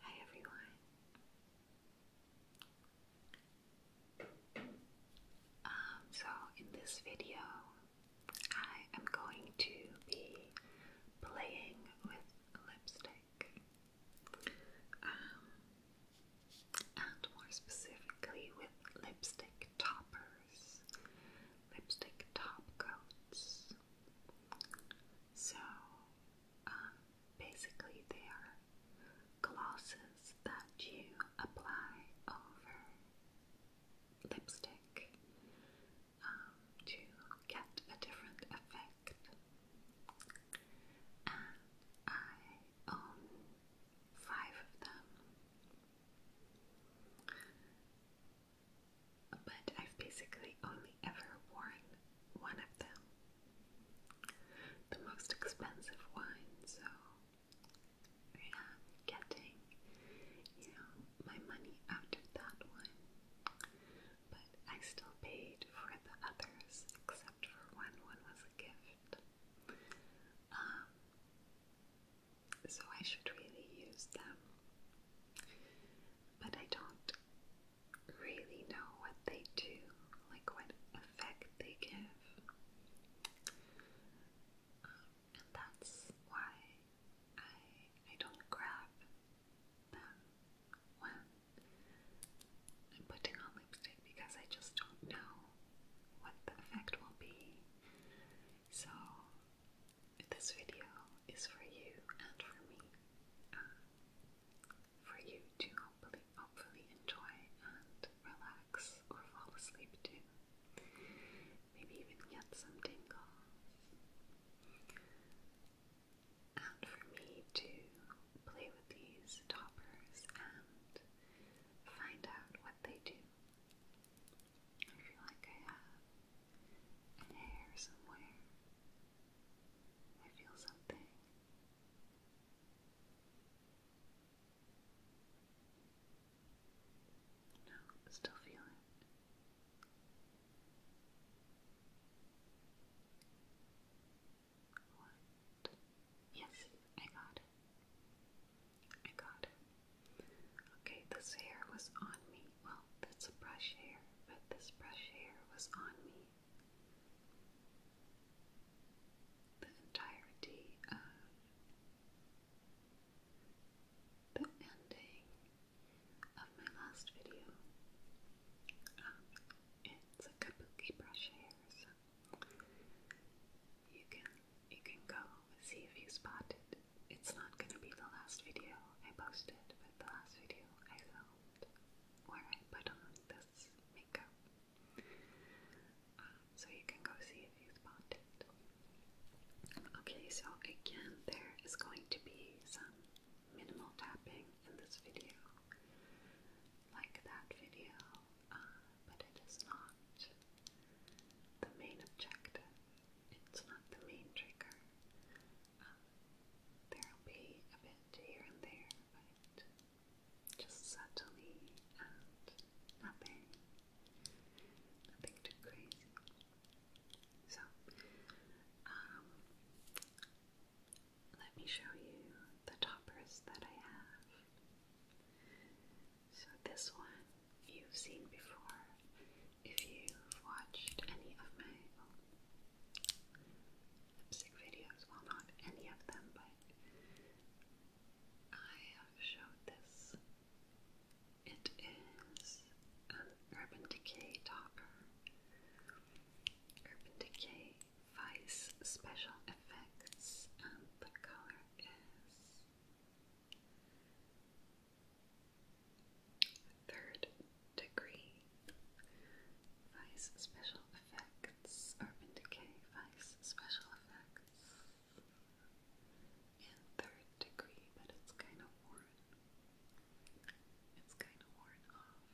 Hi everyone. Um, so in this video, I am going to be playing with lipstick, um, and more specifically with lipstick toppers, lipstick top coats. So, um, basically, they are glosses that you apply over lipstick um, to get a different effect. I own five of them but I've basically only ever worn one of them. The most expensive one, so yeah, I'm getting you know my money out of that one. But I still paid for the others except for one. One was a gift. Um so I should really use them. But I don't really know what they do, like what effect they give. Um, and that's why I I don't grab them when I'm putting on lipstick because I just don't know what the effect will be. So this video is for you and for me. Um, for you to hopefully, hopefully enjoy and relax or fall asleep to. Maybe even get some tingles. And for me to play with these toppers and find out what they do. I feel like I have hair somewhere I feel something. No, still feel What? Yes, I got it. I got it. Okay, this hair was on me. Well, that's brush hair, but this brush hair was on me the entirety of the ending of my last video. Um, it's a kabuki brush hair, so you can you can go see if you spot it. It's not gonna be the last video I posted, but the last video I filmed where I put on this makeup. Um, so you can go see if you spot it. Okay, so again, there is going to be some minimal tapping in this video, like that video, uh, but it is not the main objective. It's not the main trigger. Um, there'll be a bit here and there, but just subtly and nothing, nothing too crazy. So, um, let me show you the toppers that I have. So this one you've seen before if you've watched any of my sick videos. Well, not any of them, but I have showed this. It is an Urban Decay Talker. Urban Decay Vice Special Effects, the color is third degree. Vice special effects, Urban Decay, Vice special effects, and third degree, but it's kind of worn. It's kind of worn off.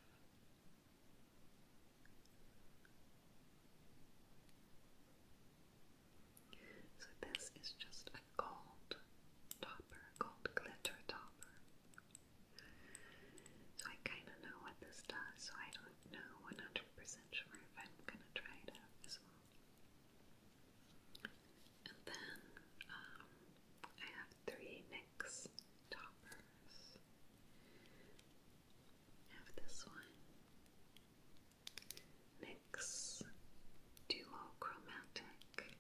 So this is just a gold topper, gold glitter topper. So I kind of know what this does, so I don't know 100% sure if I'm going to try it out as well. And then um, I have three NYX toppers. I have this one NYX Duochromatic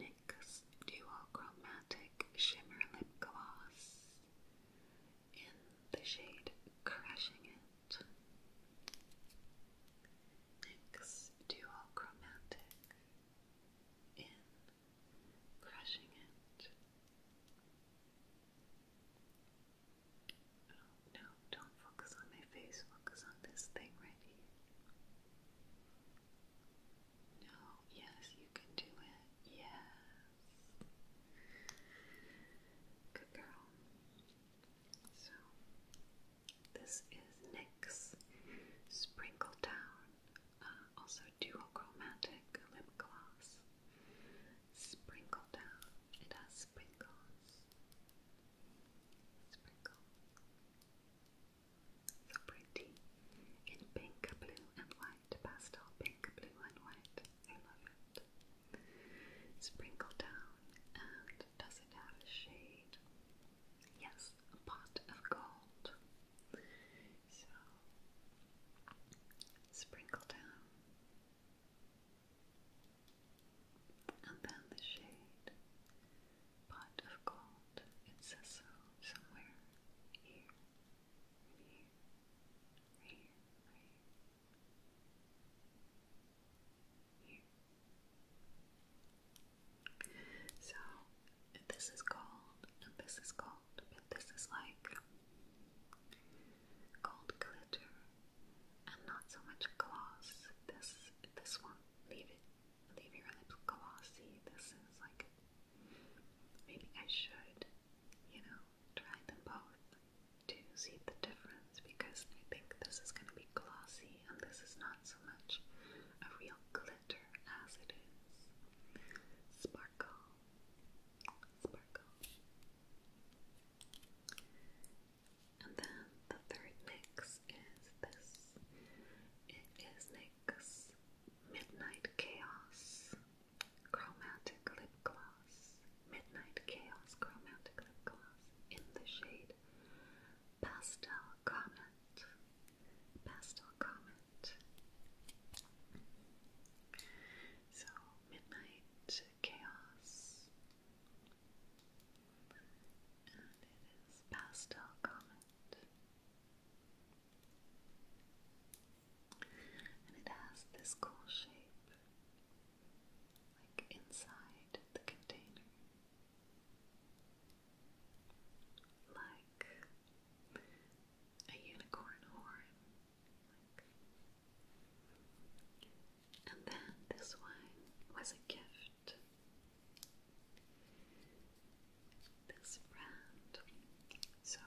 NYX Duochromatic Shimmer Lip Gloss in the shade Crushing It. NYX Duochromatic in Crushing It. Oh, no, don't focus on my face, focus on this thing right here. No, yes, you can do it. Yes. Good girl. So, this is NYX Sprinkle Down, uh, also also chromatic Lip Gloss. Sprinkle Down. It has sprinkles. Sprinkle. So pretty in pink, blue, and white, pastel pink, blue, and white. I love it. Sprinkle down, and does it have a shade? Yes, a pot of gold. So, sprinkle down, and then the shade pot of gold. It says so somewhere. Here, here, here, here. So, this is gold, and this is gold, but this is like gold glitter and not so much gloss. This this one, leave it, leave your lips glossy. This is like Maybe I should, you know, try them both to see the difference because I think this is going to be glossy and this is not so much a real glitter as it is sparkle. Sparkle. And then the third mix is this. It is a Midnight Chaos, Chromatic Lip Gloss, Midnight Chaos Chromatic Lip Gloss in the shade Pastel Comet, Pastel Comet. So, Midnight Chaos, and it is Pastel Comet. And it has this cool shape, like inside the container. Like a unicorn horn. And then this one was a gift this friend. So,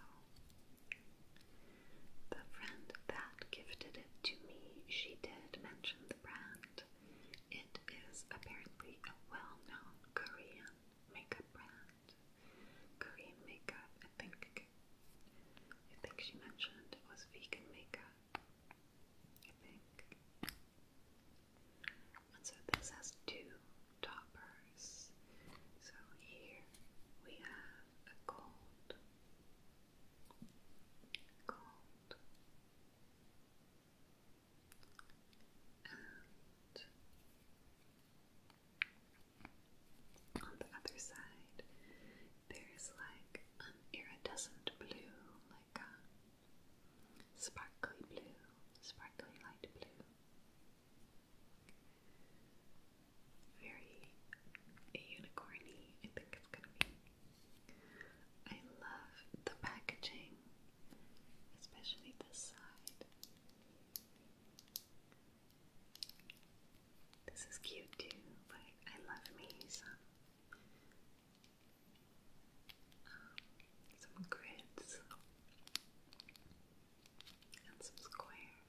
the friend that gifted it to me, she did mention the brand. It is apparently a well known Korean makeup brand. Korean makeup, I think. I think she mentioned it was vegan makeup. I think. And so this has two toppers. So here we have a gold, gold, and on the other side, there's like an iridescent blue, like a sparkly blue, sparkly light blue, very unicorny, I think it's gonna be. I love the packaging, especially this side. This is cute too, but I love me some um, some grids and some squares.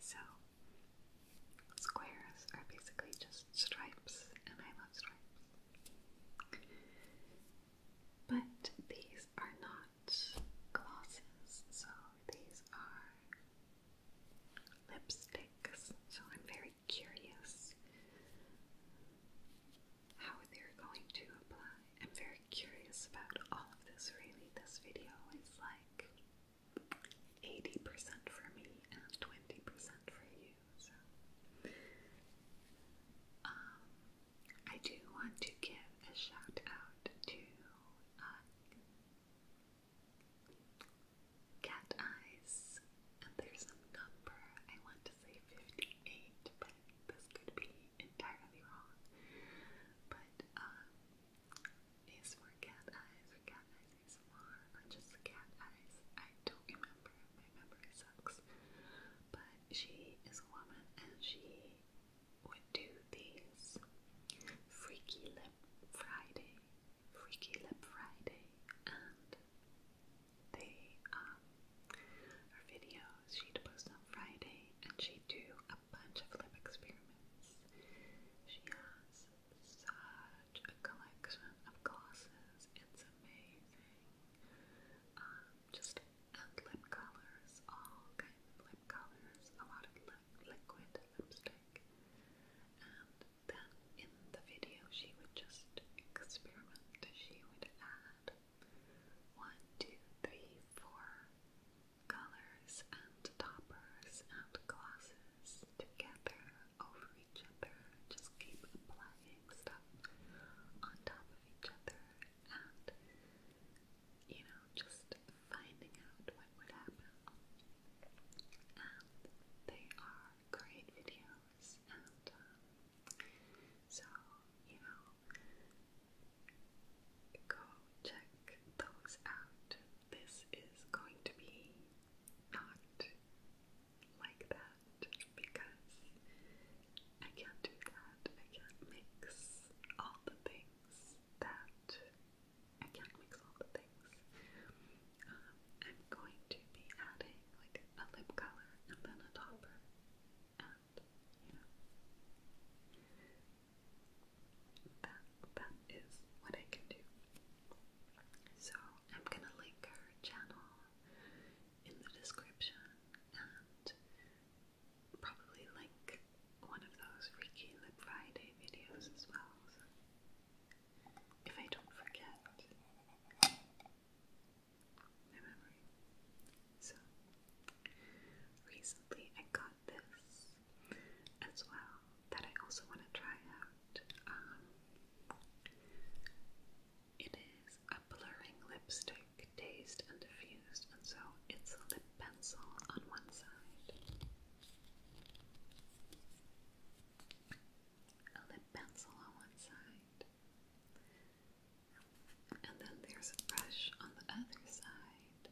So, squares are basically just stripes, and I love stripes. But these are not glosses, so these are lipsticks. So I'm very curious how they're going to apply. I'm very curious about all of this really. This video is like 80% for me and 20% for you. So um I do want to give a shout out to uh, Cat Eyes, and there's a number, I want to say 58, but this could be entirely wrong. But um, is for cat eyes cat eyes ASMR or just cat eyes. I don't remember. My memory sucks. But she is a woman and she would do these Freaky Lip Friday. Freaky Lip Friday. And they, um, video she'd post on Friday and she'd do a bunch of lip experiments. She has such a collection of glosses, it's amazing. Um, just lip colors, all kinds of lip colors, a lot of liquid lipstick. And then in the video, she would just experiment. She would add one, two, three, four colors and toppers and glosses together over each other. Just keep applying stuff on top of each other and you know, just finding out what would happen. And they are great videos, um, so you know, go check those out. This is going to be not like that because I can't do that. I can't mix all the things that I can't mix all the things. Um, I'm going to be adding like a lip color and then a topper and yeah, that that is what I can do. So I'm gonna link her channel in the description and probably link one of those Reiki Lip Friday videos as well. if I don't forget, my memory. So, recently I got this as well that I also want to try out. Um, it is a blurring lipstick, dazed and diffused, and so it's a lip pencil on one side. A lip pencil on one side, and then there's a brush on the other side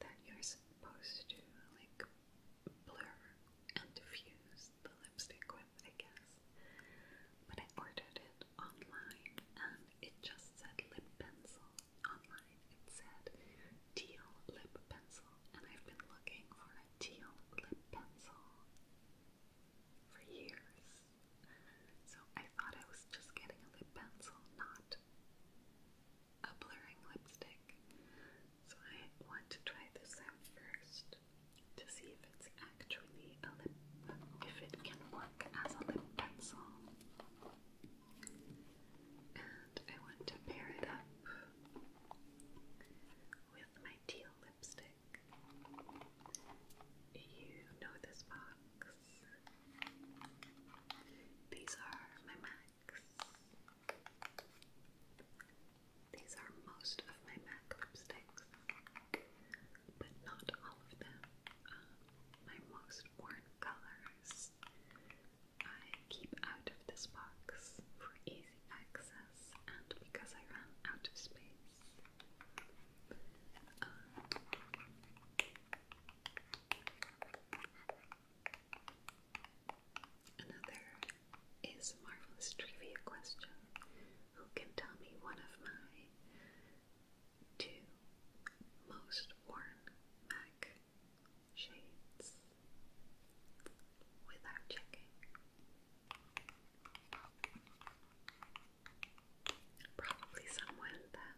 that you're supposed to like blur and diffuse the lipstick with, I guess. But I ordered it online and it just said lip pencil online. It said teal lip pencil, and I've been looking for a teal lip pencil for years. So I thought I was just getting a lip pencil, not a blurring lipstick. So I want to try this out first to see if it's actually a lip, if it can work as a lip pencil. And I want to pair it up with my teal lipstick. You know this box. These are my MACs. These are most of my MAC lipsticks, but not all of them. Um, my most worn colors I keep out of this box for easy access and because I ran out of space. Um, another is marvelous trivia question. Who can tell me one of my two most worn MAC shades without checking? Probably someone that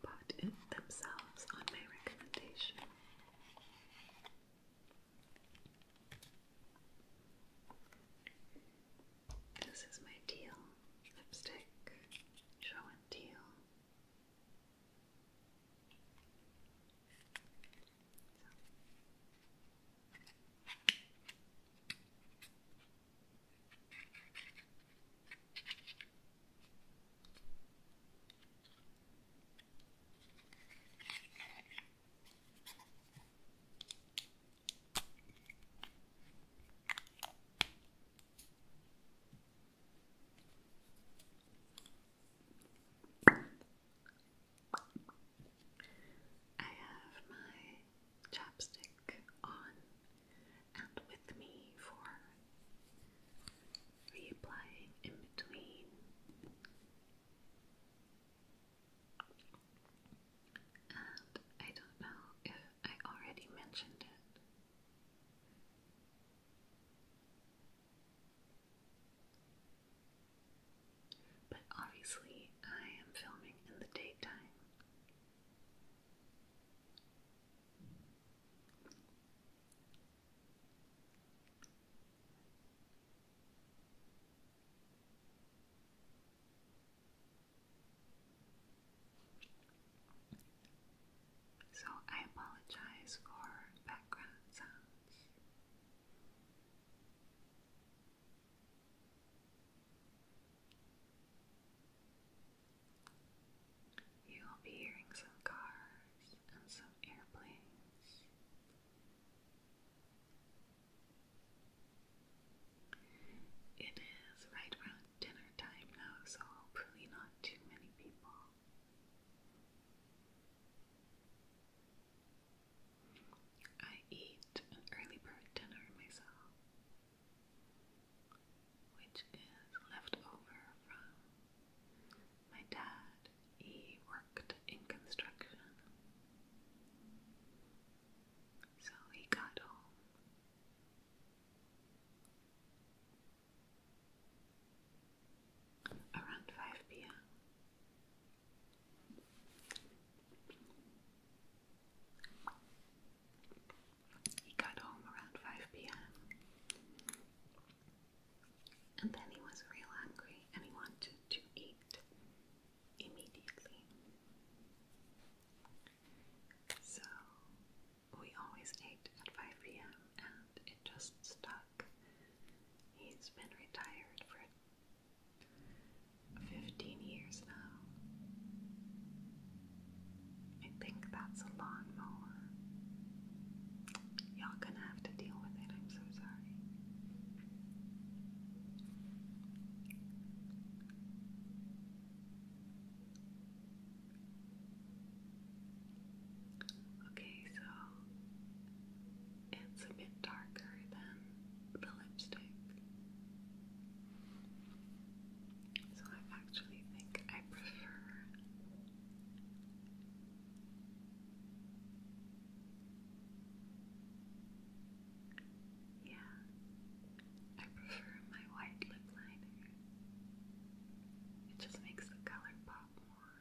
bought it themselves on my recommendation. This is my deal lipstick, show and teal. I have my chapstick on and with me for reapplying in between. And I don't know if I already mentioned it. But obviously, I am filming in the daytime. So I apologize for background sounds. You will be hearing some cars and some airplanes. It is right around dinner time now, so hopefully not too many people. I eat an early bird dinner myself which is left over from my dad. He worked in construction. So he got home. Around 5 p.m. He got home around 5 pm. And then he was real hungry and he wanted to eat immediately. So we always ate at 5 pm and it just stuck. He's been retired for 15 years now. I think that's a lawnmower. Y'all gonna have to deal with it, I'm so sorry. Okay, so it's a bit darker than the lipstick. So I actually think I prefer Yeah. I prefer my white lip liner. It just makes the color pop more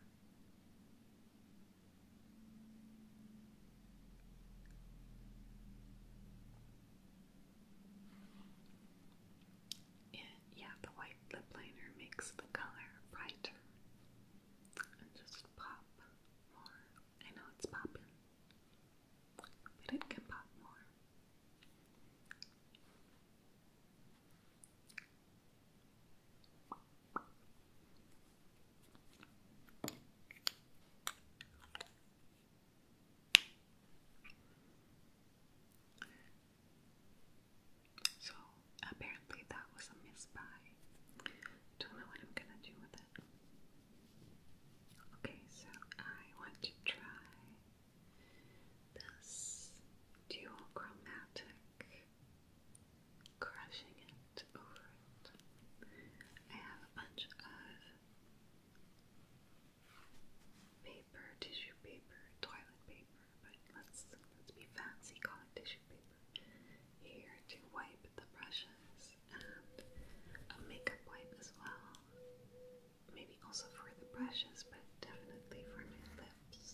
yeah, the white lip liner makes the color brighter and just pop more. I know it's popping, but it can pop more. So apparently that was a misbuy. Don't know what I'm gonna do with it. Okay, so I want to try this duochromatic crushing it over it. I have a bunch of paper, tissue paper, toilet paper, but let's let's be fancy, call it tissue paper. Here to wipe the brushes and a makeup wipe as well. Maybe also for the brushes, but definitely for my lips.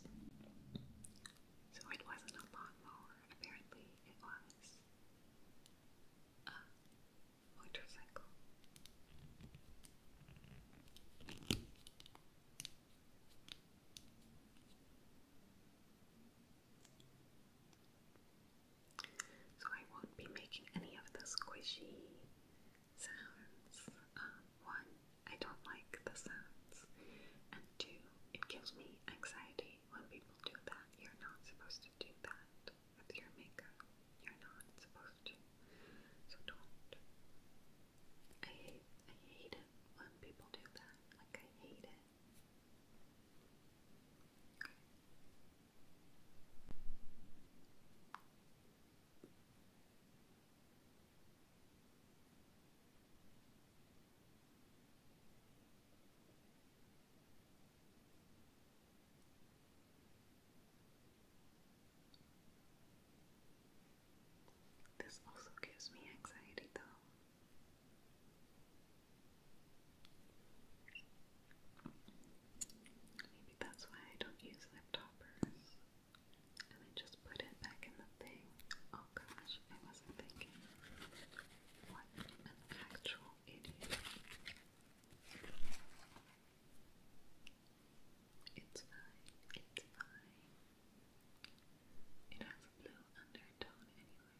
So it wasn't a lawnmower, apparently it was. So I won't be making any of the squishy sounds. Uh, one, I don't like the sounds, and two, it gives me anxiety when people do that. You're not supposed to do that with your makeup. You're not supposed to. So don't. I hate I hate it when people do that. Like I hate it. This also gives me anxiety, though. Maybe that's why I don't use lip toppers. And I just put it back in the thing. Oh gosh, I wasn't thinking. What an actual idiot. It's fine, it's fine. It has a blue undertone anyway.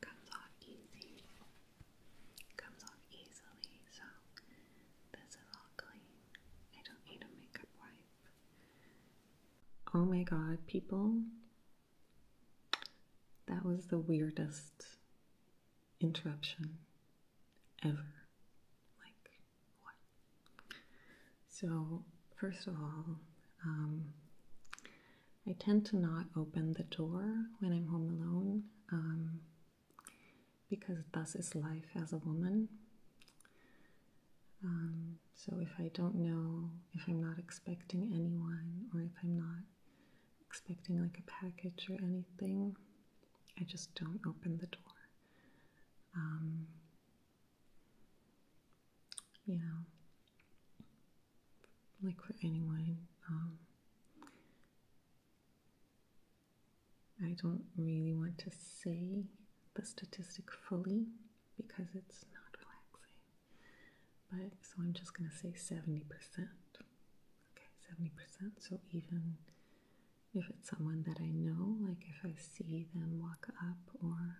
comes off easy. comes off easily, so this is all clean. I don't need a makeup wipe. Oh my god, people. That was the weirdest interruption ever. Like, what? So, first of all, um, I tend to not open the door when I'm home alone um, because thus is life as a woman. Um, so if I don't know, if I'm not expecting anyone, or if I'm not expecting like a package or anything, I just don't open the door. Um, yeah, liquid anyway. Um, I don't really want to say the statistic fully because it's not relaxing, but so I'm just going to say 70%. Okay, 70%. So even if it's someone that I know, like if I see them walk up or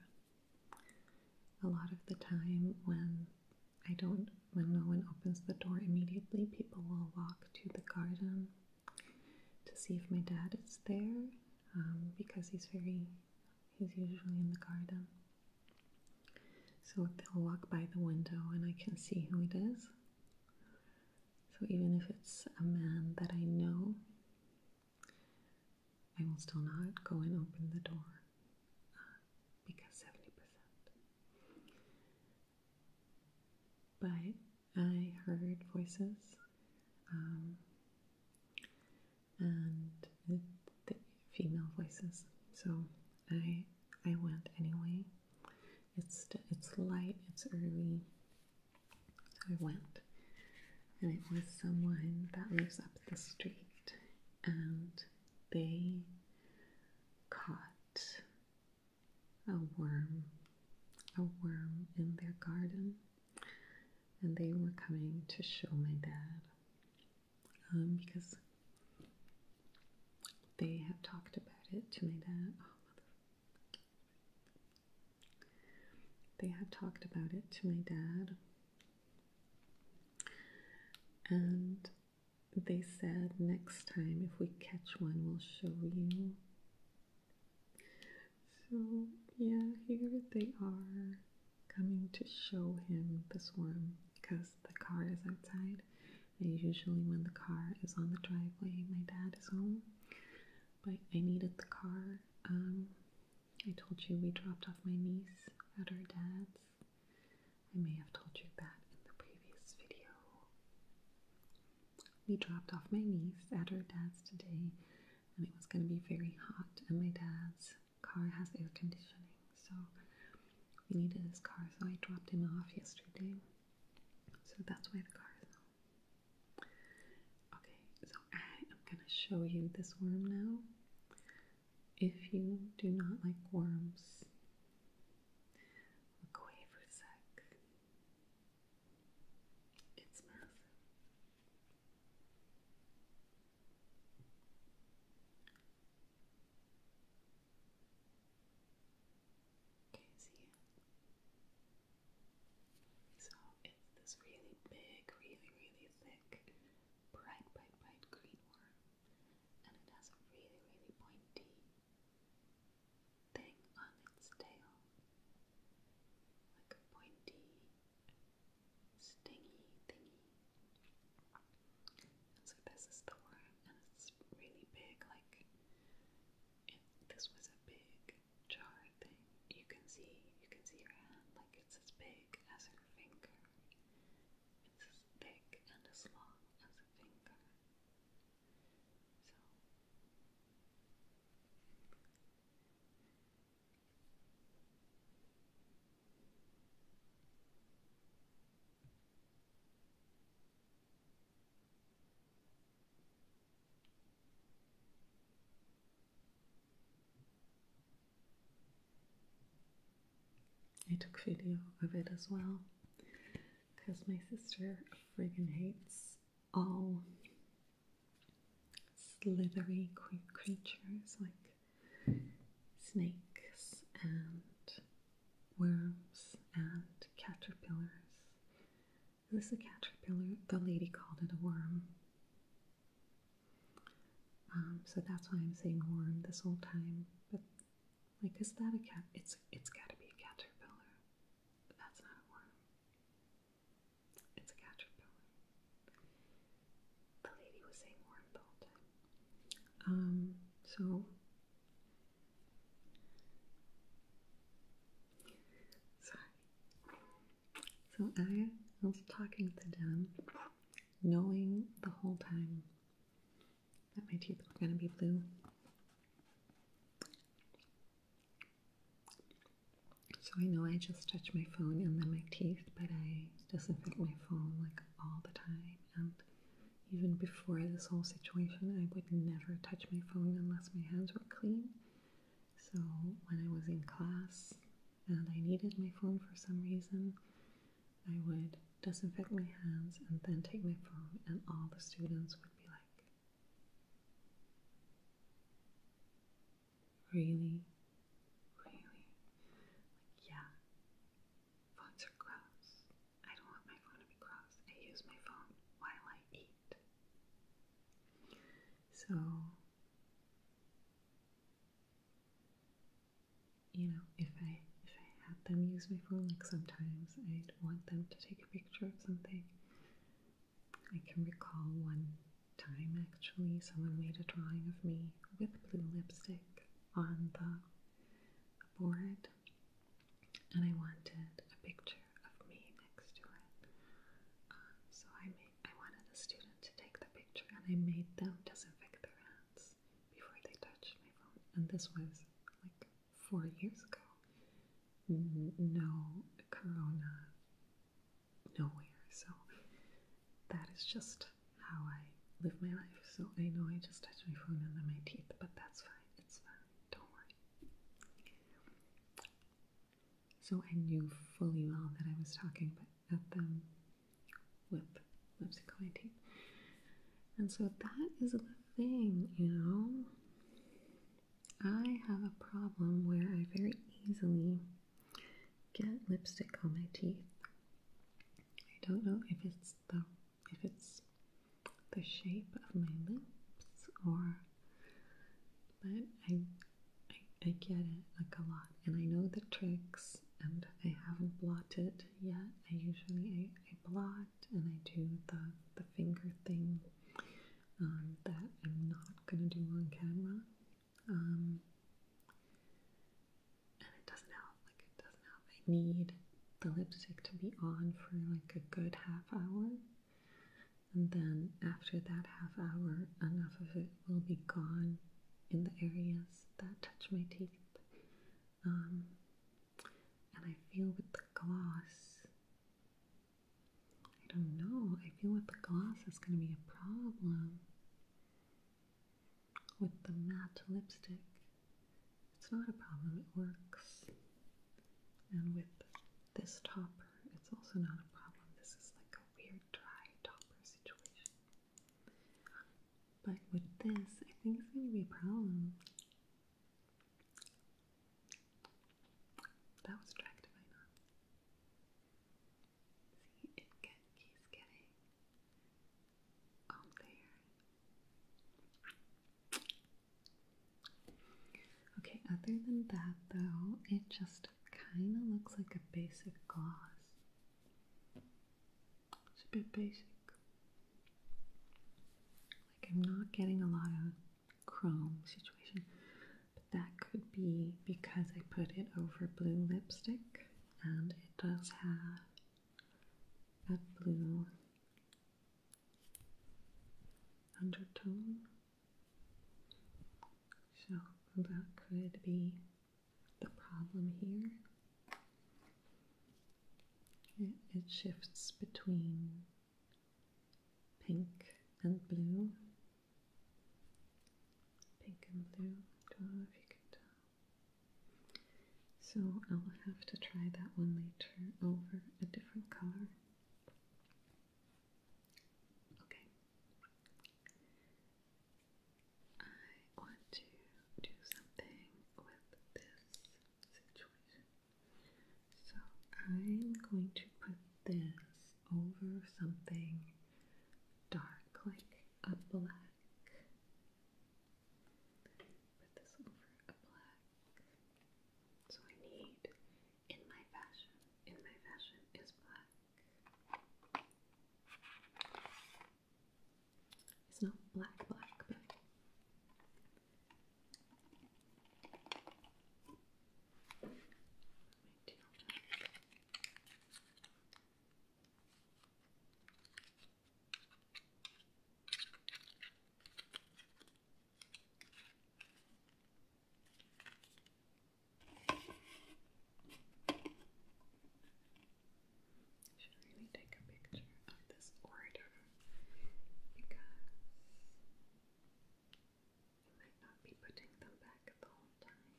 a lot of the time, when I don't, when no one opens the door immediately, people will walk to the garden to see if my dad is there um, because he's very, he's usually in the garden. So they'll walk by the window and I can see who it is. So even if it's a man that I know, I will still not go and open the door uh, because 70%. But I heard voices um, and the female voices, so I I went anyway. It's it's light, it's early, so I went, and it was someone that lives up the street and they caught a worm, a worm in their garden, and they were coming to show my dad um, because they have talked about it to my dad. they had talked about it to my dad oh, and they said next time if we catch one, we'll show you. So, yeah, here they are coming to show him the swarm because the car is outside. And usually, when the car is on the driveway, my dad is home. But I needed the car um, I told you we dropped off my niece at her dad's. I may have told you that in the previous video. We dropped off my niece at her dad's today, and it was going to be very hot, and my dad's car has air conditioning, so we needed his car, so I dropped him off yesterday. So that's why the car is on. Okay, so I am going to show you this worm now if you do not like worms. Look away for a sec. It's massive. Okay, see So it's this really big, really, really thick bright, bright, bright green worm, and it has a really, really pointy thing on its tail, like a pointy, stingy thingy. so this the worm, and it's really big. Like this was a big jar thing, you can see, you can see your hand. Like it's as big as her finger. It's as big and as long as a finger. So I took video of it as well because my sister friggin' hates all slithery creatures like snakes and worms and caterpillars. This is a caterpillar, the lady called it a worm. Um, so that's why I'm saying worm this whole time. But like, is that a cat? It's it's got to be a caterpillar. that's not a worm. It's a caterpillar. The lady was saying worm the whole time. Um. So. Sorry. So I was talking to them knowing the whole time that my teeth were going to be blue. So I know I just touch my phone and then my teeth, but I disinfect my phone like all the time. And even before this whole situation, I would never touch my phone unless my hands were clean. So when I was in class, and I needed my phone for some reason, I would disinfect my hands and then take my phone, and all the students would be like, Really? Really? yeah. Phones are gross. I don't want my phone to be gross. I use my phone while I eat. So, you know, if I if I had them use my phone, like sometimes I'd want them to take a picture of something. I can recall one time actually someone made a drawing of me with blue lipstick on the board and I wanted a picture of me next to it. Um, so I made I wanted a student to take the picture and I made them disinfect their hands before they touched my phone, and this was like four years ago. No corona nowhere, so that is just how I live my life. So I know I just touched my phone and my teeth, but that's fine, it's fine, don't worry. So I knew fully well that I was talking, but at them with lipstick coating tape. And so that is the thing, you know. I have a problem where I very easily get lipstick on my teeth. I don't know if it's the if it's the shape of my lips or but I, I get it like a lot and I know the tricks and I haven't blotted yet. I usually I, blot and I do the, the finger thing um, that I'm not gonna do on camera. Um, and it doesn't help, like it doesn't help. I need the lipstick to be on for like a good half hour. And then after that half hour, enough of it will be gone in the areas that touch my teeth. Um, and I feel with the gloss, I don't know, I feel with the gloss that's going to be a problem. With the matte lipstick, it's not a problem, it works. And with this topper, it's also not a problem. This is like a weird dry topper situation. But with this, I think it's going to be a problem. That was tracked, I See, it get, keeps getting on there. Okay, other than that though, it just kind of looks like a basic gloss. It's a bit basic. Like I'm not getting a lot of chrome situation, but that could be because I put it over blue lipstick and it does have a blue undertone. So that could be the problem here. It, shifts between pink and blue. Pink and blue. Don't know if you can tell. So I'll have to try that one later over a different color. Okay. I want to do something with this situation. So I'm going to put this over something dark, like a black. Put this over a black. So I need in my fashion. In my fashion is black. It's not black, black, should really take a picture of this order because I might not be putting them back the whole time.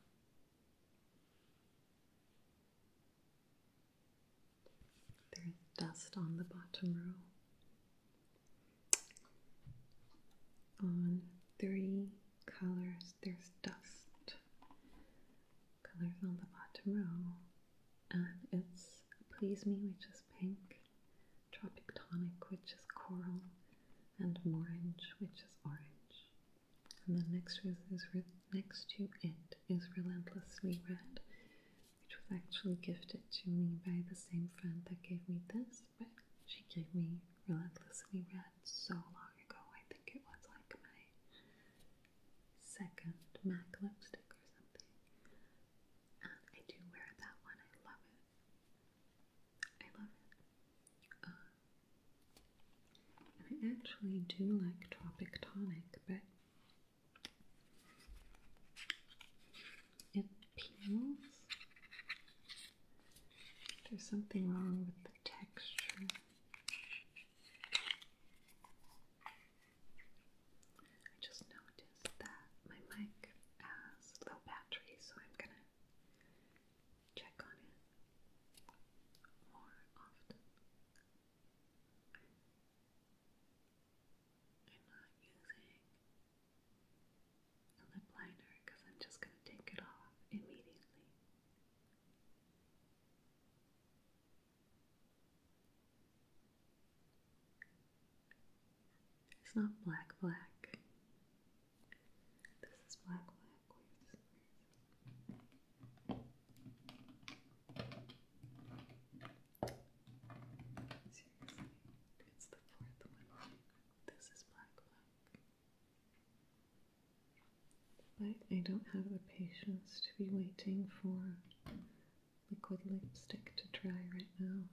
There's dust on the bottom row. On three colors, there's dust colors on the bottom row. And it's Please Me, which is pink, Tropic Tonic, which is coral, and orange, which is orange. And the next rose is next to it is Relentlessly Red, which was actually gifted to me by the same friend that gave me this, but she gave me Relentlessly Red so long ago. I think it was like my second MAC lipstick or something. And I do wear that one. I love it. I love uh, I actually do like Tropic Tonic, but it peels. There's something wrong with the texture. I just noticed that my mic has low battery, so I'm gonna check on it more often. I'm not using a lip liner because I'm just gonna take it off immediately. It's not black, black. This is black, black. Seriously, it's the fourth one. This is black, black. But I don't have the patience to be waiting for liquid lipstick to dry right now.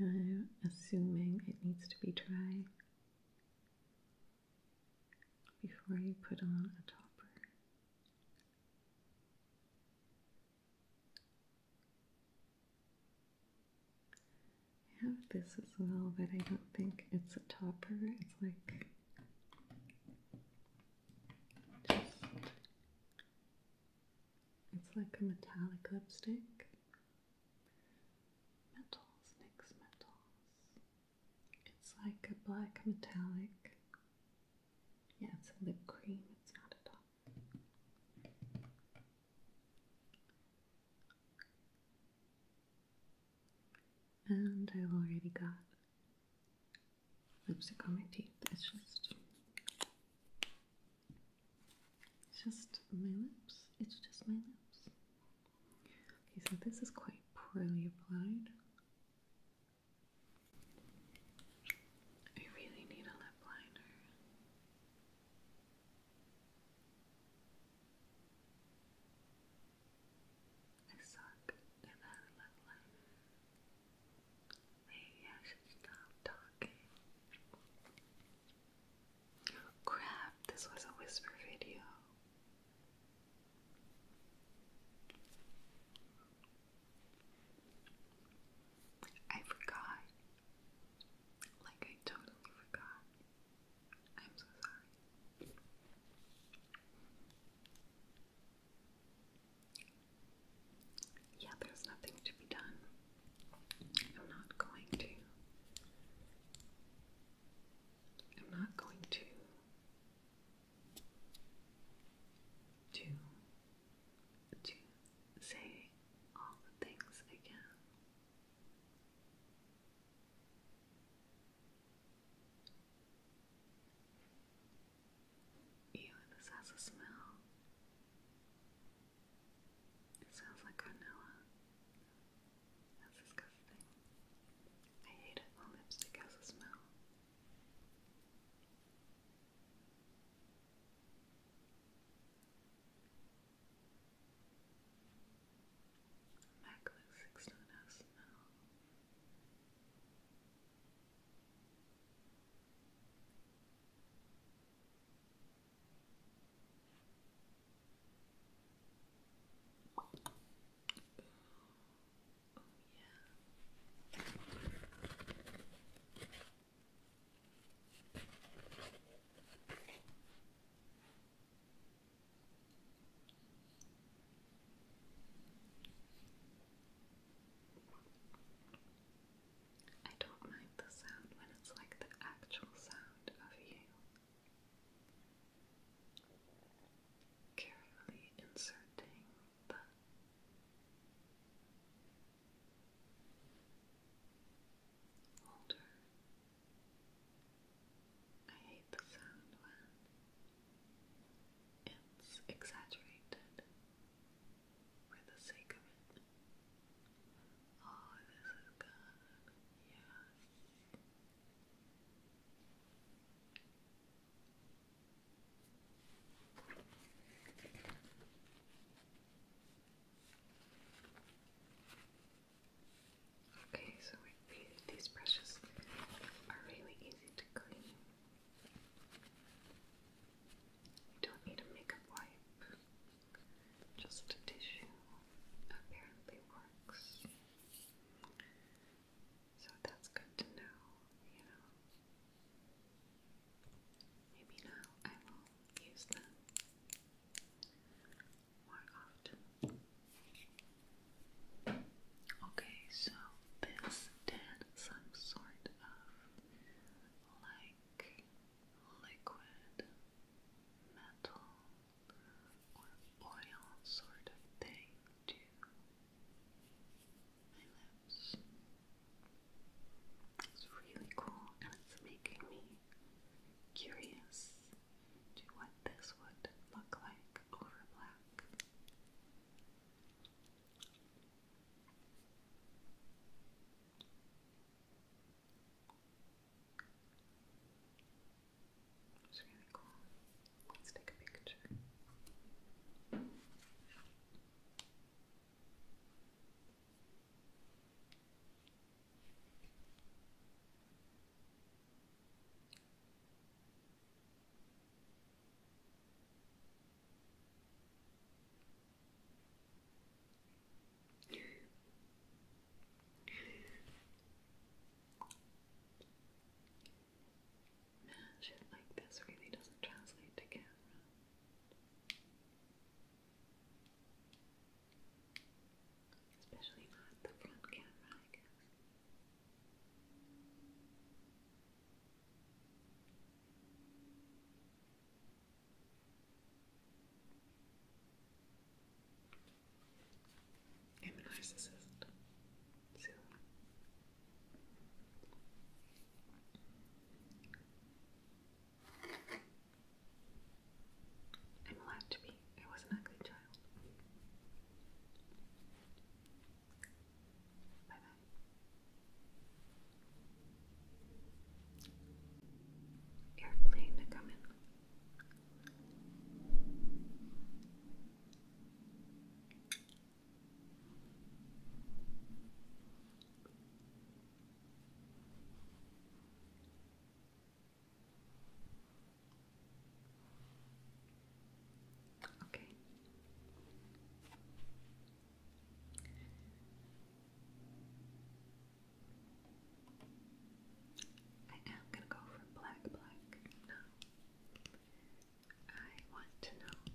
I'm assuming it needs to be dry before you put on a topper. I have this as well, but I don't think it's a topper. It's like it's like a metallic lipstick. Metals, NYX Metals. It's like a black metallic. Yeah, it's a lip cream, it's not a top. And I've already got lipstick on my teeth. It's just, it's just my lips. It's just my lips. Okay, so this is quite poorly applied. I really need a lip liner. I suck and I love life. Maybe I should stop talking. Crap, this was a whisper video. I forgot. Like, I totally forgot. I'm so sorry. Yeah, there's nothing to be done. I'm not going to. I'm not going to. To. To say all the things again. Ew, this has a smell. It sounds like vanilla. That's disgusting. I hate it when lipstick has a smell. Macbook 16S now. Oh, yeah. I don't mind the sound when it's like the actual sound of you. Carefully inserting the holder I hate the sound when it's exaggerated for the sake of it. Oh, this is good. Yeah. Okay, so we these brushes are really easy to clean. You don't need a makeup wipe. Just a tissue apparently works. So that's good to know, you know. Maybe now I will use them more often. Okay, so this did some sort of like liquid metal or oil sort of thing to my lips. It's really cool and it's making me curious to what this would look like black over It's really cool. Let's take a picture. Man, shit like this really doesn't translate to camera. Especially not the front camera, I guess. I'm a narcissist. I'm allowed to be. I was an ugly child. Bye bye. Airplane coming. Okay. I am gonna go for black, black now. I want to know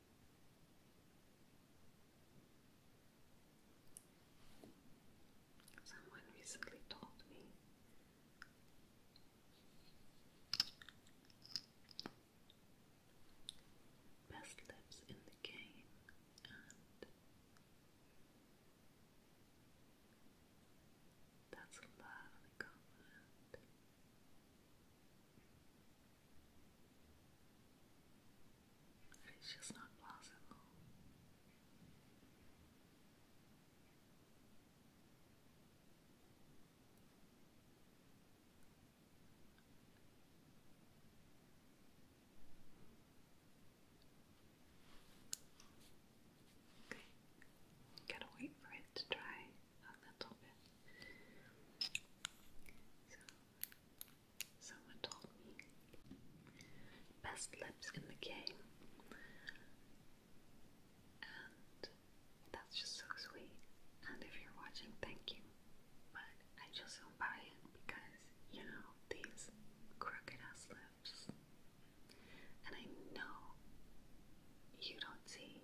Someone recently told me best lips in the game and that's a lovely compliment. It's just not possible. Okay, gotta wait for it to dry a little bit. So Someone told me. Best lips in the game. And that's just so sweet. And if you're watching, thank you. But I just don't buy it because, you know, these crooked ass lips. And I know you don't see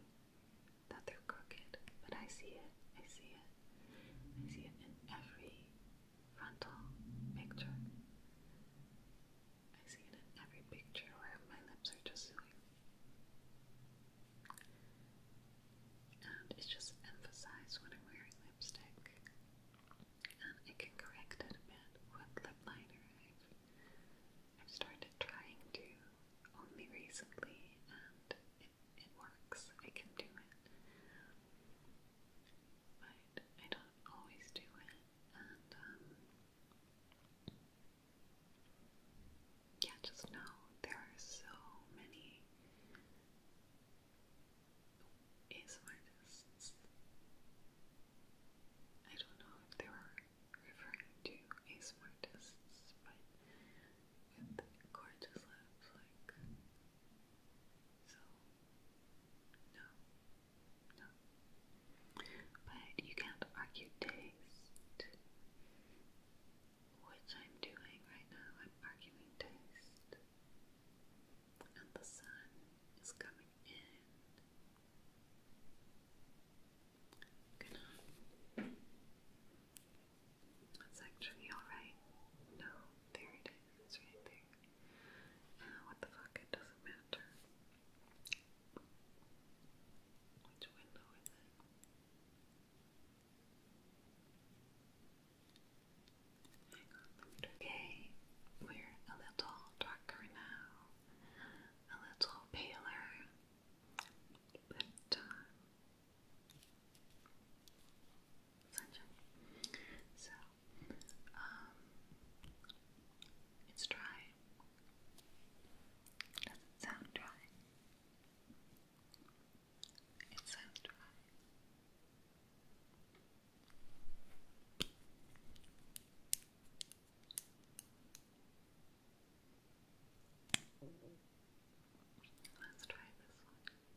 that they're crooked, but I see it. I see it. I see it in every frontal picture. I see it in every picture where my lips are just doing. And it's just emphasized when I'm wearing lipstick. And I can correct it with lip liner. I've, I've started trying to only recently, and it works. I can do it. But I don't always do it. Um, yeah, just know there are so many ASM artists. I don't know if they were referring to ASM artists, but with gorgeous lips, like so. No, no. But you can't argue taste, which I'm doing right now. I'm arguing taste, and the sun is coming in. Good night. That's actually alright. No, there it is. right there. Uh, what the fuck? It doesn't matter. Which window is it? Okay, we're a little darker now, a little paler, but uh, sunshine. So, it's dry. Does it sound dry? It sounds dry. Let's try this one.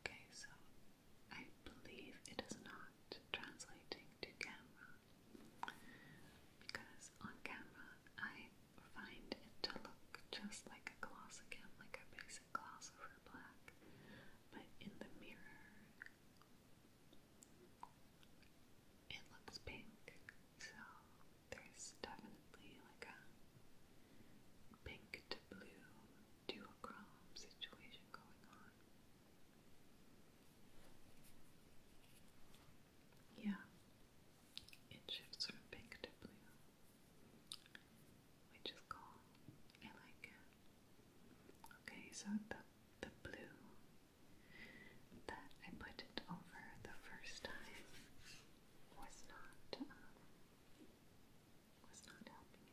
Okay, so I believe it is not translating to camera because on camera I find it to look just like a gloss like a basic gloss over black, but in the mirror it looks pink, so there's definitely like a pink to blue duochrome situation going on. Yeah, it shifts from pink to blue, which is cool. I like it. Okay, so the the blue that I put over the first time was not um, was not helping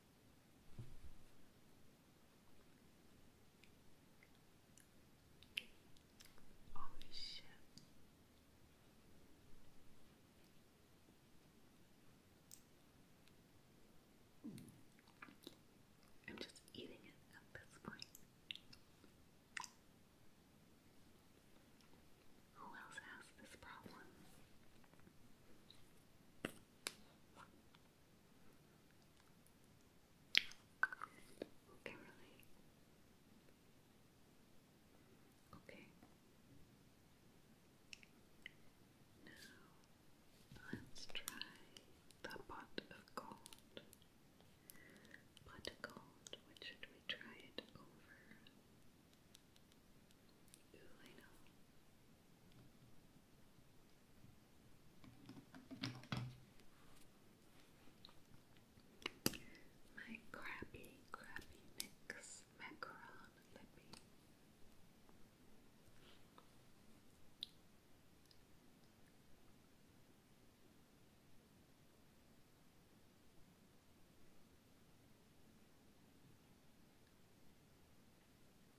Holy shit. I'm just eating it at this point. Who else has this problem? Kimberly. Okay. Now let's try the pot of gold. Pot of gold, should we try it over? Ooh, know. My crappy, crappy mix macaron lippy.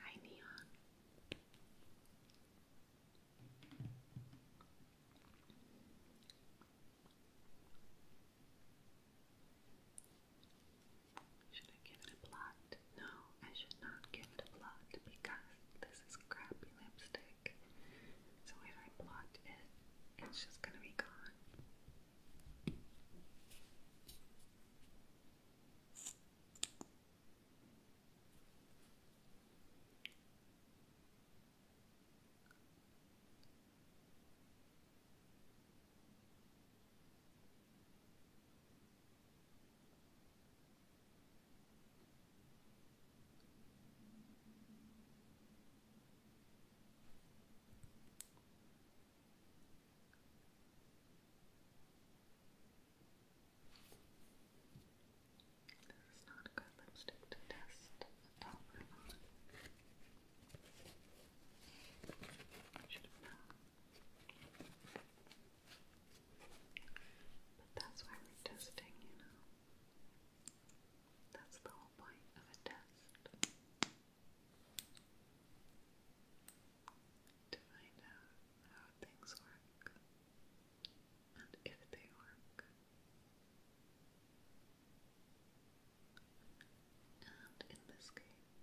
Hi, Neon. Should I give it a blot? No, I should not give it a blot because this is crap lipstick. So if I blot it, it's just gonna be gone. This is not a good lipstick to test a powder But that's why we're testing, you know. That's the whole point of a test. To find out how things work and if they work. And in this case,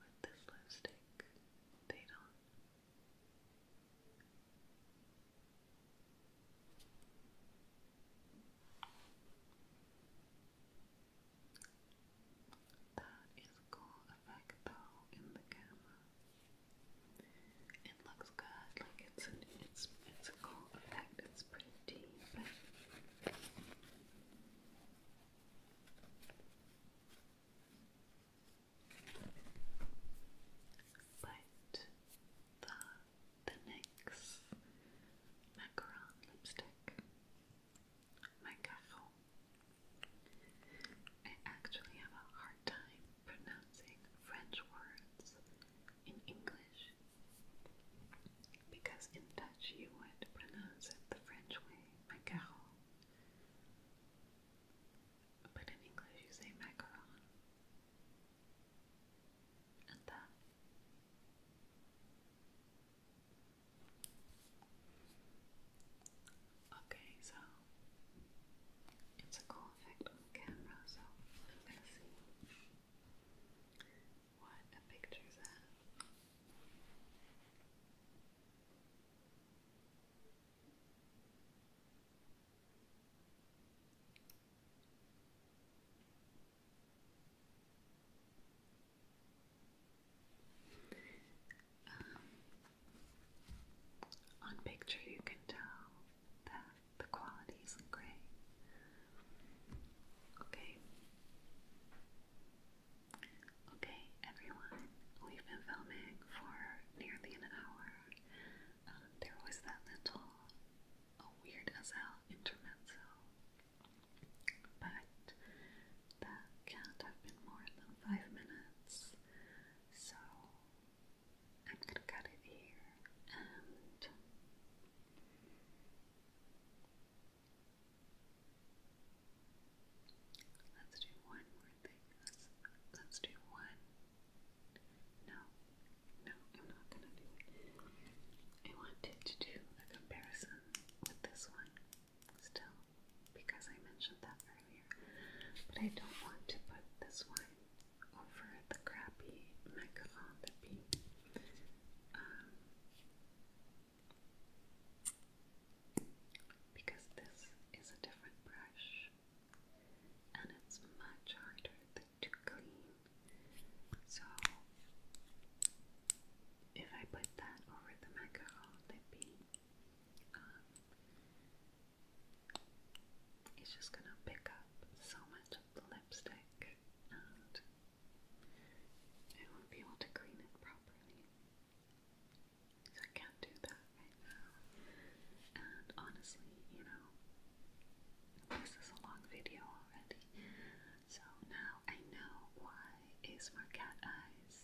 with this lipstick, they don't. That is a cool effect though in the camera. It looks good, like it's it's it's a cool effect, it's pretty but but the, the NYX Macaron lipstick, Macaron. I actually have a hard time pronouncing French words in English because in Dutch you would pronounce it the French way, macaron but in English you say macaron. And that. Okay, so it's a cool effect on camera, so I'm gonna see what a picture's at. Um, on picture, you can tell that the quality isn't great. Okay, Okay, everyone, we've been filming for nearly an hour. Um, there was that little weird as hell intermezzo, but that can't have been more than five minutes, so I'm gonna cut it here Let's do one more thing. Let's, let's do one. No, no, I'm not gonna do I wanted to do a comparison with this one still because I mentioned that earlier. But I don't want to put this one over the crappy macaron um, because this is a different brush and it's much harder to clean. So, if I put that over the macaron lippy, um, it's just gonna pick up so much of the lipstick and I won't be able to clean it properly. So I can't do that right now. And honestly, you know, this is a long video already. So now I know why Ace Eyes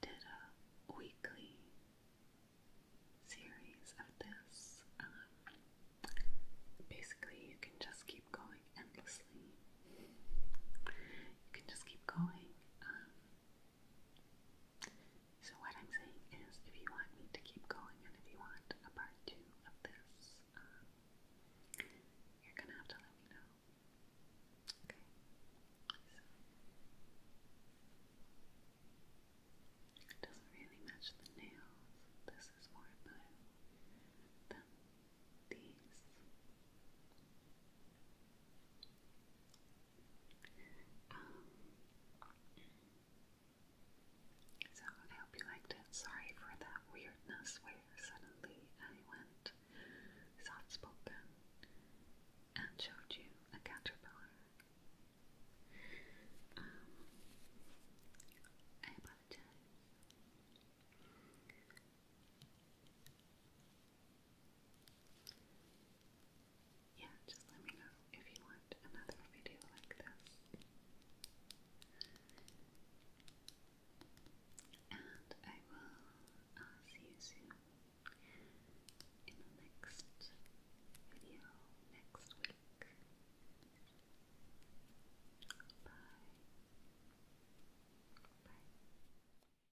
did a weekly series of this. Um, basically, you can just keep going endlessly. You can just keep going. Um, so, what I'm saying is, if you want me to keep going and if you want a part two of this, um, you're gonna have to let me know. Okay? doesn't really match the nails. This is more blue than these. Um, so I hope you liked it. Sorry for that weirdness where suddenly I went soft spoken and showed you a caterpillar. Um, I apologize. Yeah, just let me know if you want another video like this. And I will uh, see you soon in the next video next week. Bye. Bye.